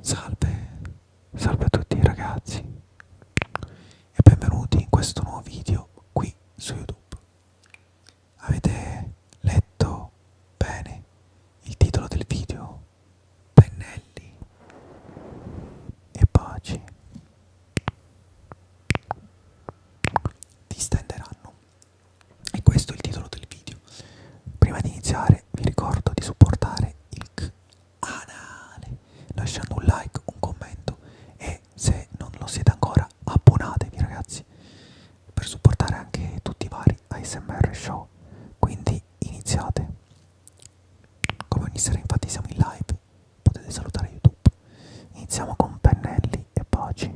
Salve, salve a tutti ragazzi e benvenuti in questo nuovo video qui su YouTube. Avete letto bene il titolo del video? Pennelli e baci distenderanno. E questo è il titolo del video. Prima di iniziare sempre vi ricordo di supportare il canale lasciando un like, un commento e se non lo siete ancora abbonatevi ragazzi per supportare anche tutti i vari ASMR show. Quindi iniziate. Come ogni sera infatti siamo in live, potete salutare YouTube. Iniziamo con pennelli e baci.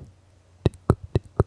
Tic, tic,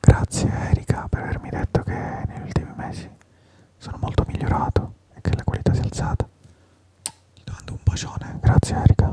Grazie Erika per avermi detto che negli ultimi mesi sono molto migliorato e che la qualità si è alzata. Ti mando un bacione, grazie Erika.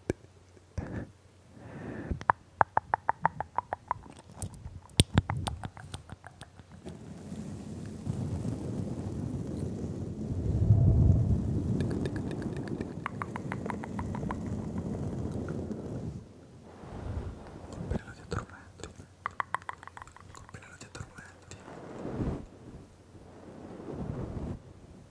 niente Compilano ti addormenti Compilano ti addormenti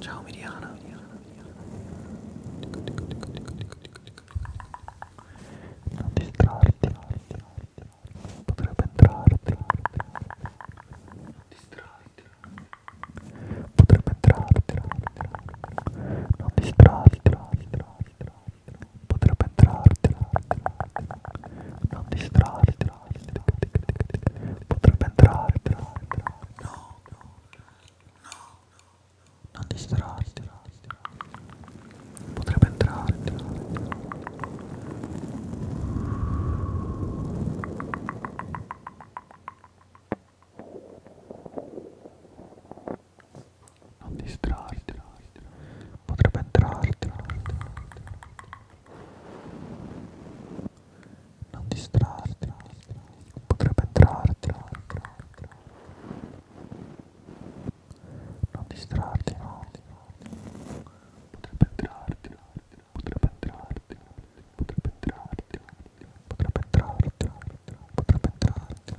Ciao Miriana, Miriana, Miriana. Non distrarti, potrebbe entrarti. Non distrarti. Potrebbe entrarti. Non distrarti. Potrebbe entrarti. Non distrarti. Potrebbe entrare, però. No, no, no, non distrarti. Potrebbe entrare. Non distrarti, potrebbe entrarti. Non distrarti, potrebbe entrarti. Non distrarti, no. Potrebbe entrarti, potrebbe entrarti, potrebbe entrarti, potrebbe entrarti, potrebbe entrarti.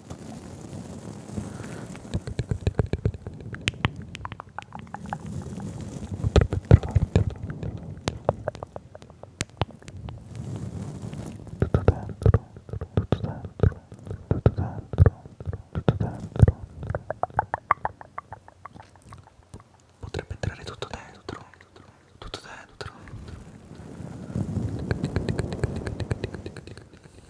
tutto dentro, tutto dentro, tutto dentro, tutto dentro. Potrebbe entrare tutto dentro, tutto dentro.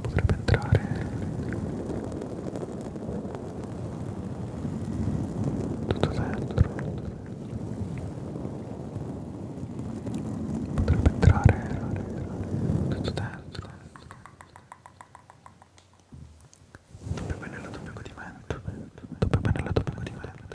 potrebbe entrare tutto dentro potrebbe entrare tutto dentro doppio pennello doppio godimento doppio pennello doppio godimento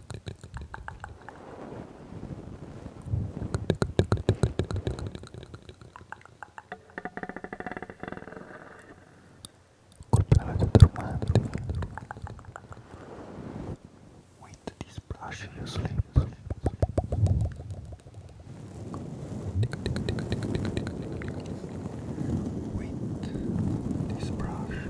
colpevate dormenti with this brush you sleep with this brush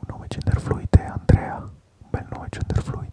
Un nome genderfluid è Andrea, un bel nome genderfluid.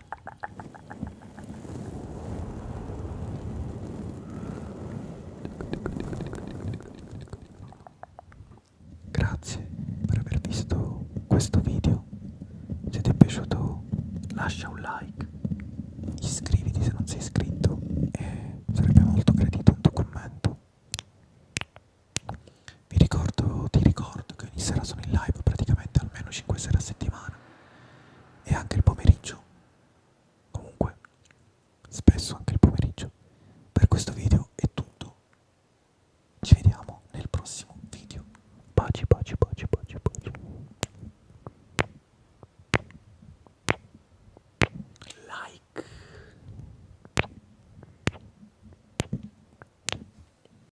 Grazie per aver visto questo video, se ti è piaciuto lascia un like, iscriviti se non sei iscritto e sarebbe molto gradito un tuo commento. Vi ricordo, ti ricordo che ogni sera sono in live praticamente almeno 5 sere a settimana e anche il pomeriggio comunque spesso anche il pomeriggio per questo video è tutto ci vediamo nel prossimo video baci baci baci baci baci like